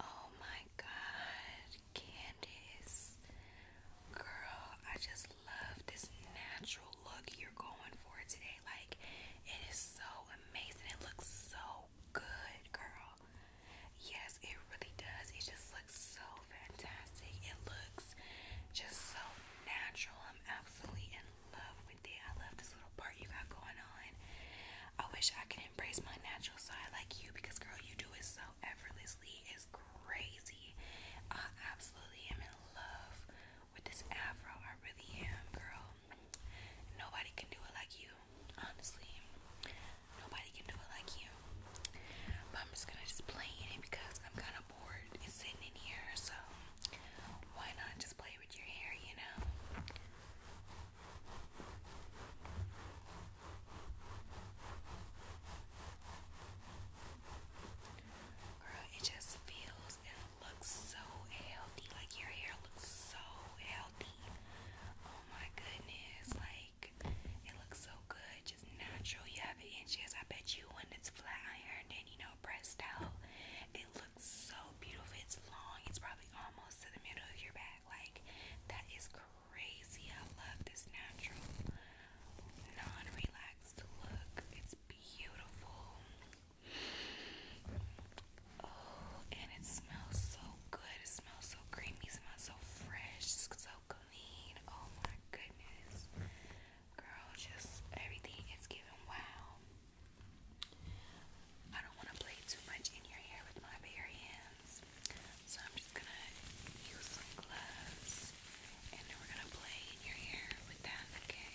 Oh my god, Candace. Girl, I just love this natural look you're going for today. Like, it is so amazing. It looks so good, girl. Yes, it really does. It just looks so fantastic. It looks just so natural. I'm absolutely in love with it. I love this little part you got going on. I wish I could embrace my natural side like you because, girl, you do it so effortlessly. It's crazy. I absolutely am in love with this afro. I really am, girl. Nobody can do it like you, honestly. Nobody can do it like you. I'm just gonna just play in it because I'm kind of bored. sitting in here, so why not just play with your hair, you know? Girl, it just feels and looks so healthy. Like your hair looks so healthy. Oh my goodness. Like it looks so good. Just natural. You have it inches. I bet you when it's flat ironed and you know pressed out, it looks looks so beautiful. It's long. It's probably almost to the middle of your back. Like that is crazy. I love this natural, non-relaxed look. It's beautiful. Oh, and it smells so good. It smells so creamy. It smells so fresh. So clean. Oh my goodness, girl. Just everything is giving wow. I don't want to play too much in your hair with my bare hands, so I'm just gonna use some gloves and we're gonna play in your hair with that, Okay,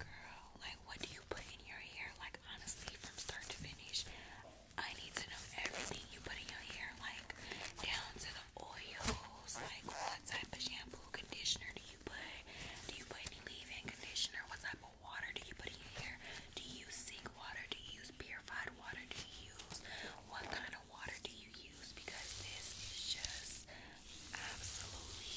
Girl, like what do you put in your hair? Like honestly, from start to finish, I need to know everything you put in your hair, like down to the oils, like what type of shampoo, conditioner do you put? Do you put any leave-in conditioner? What type of water do you put in your hair? Do you use sink water? Do you use purified water? Do you use what kind of water do you use? Because this is just absolutely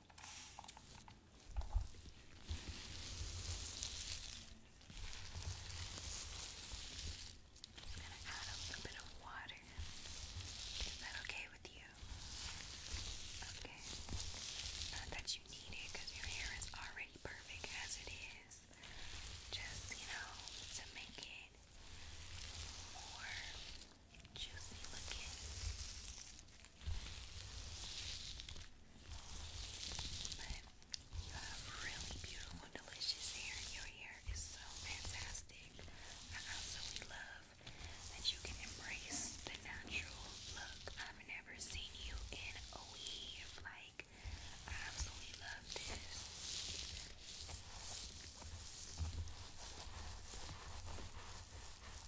I'm going to add a little bit of water. Is that okay with you? Okay. Not that you need it because your hair is already perfect as it is. Just, you know, to make it more juicy looking. But you have really beautiful, delicious hair. Your hair is so fantastic. I absolutely love that you can embrace the natural look. I've never seen you in a weave. Like, I absolutely love this.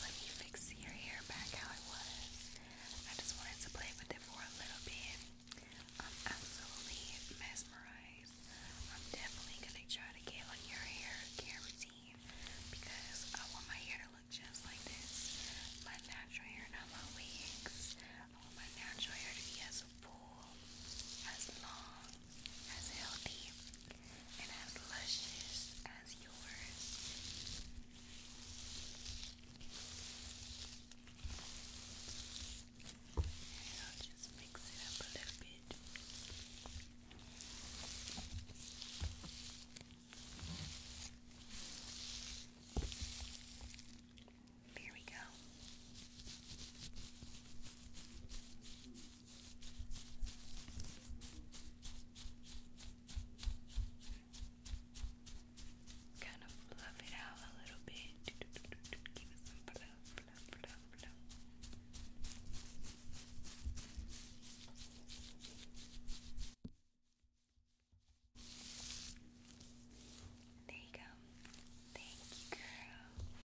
let me fix your hair back how it was. I just wanted to play with it for a little bit. I'm absolutely mesmerized. I'm definitely gonna try to get on your hair care routine because I want my hair to look just like this. My natural hair, not my wigs. I want my natural hair to be as full, as long, as healthy, and as luscious as yours. And I'll just mix it up a little bit. There we go. Kind of fluff it out a little bit. There you go. Thank you, girl.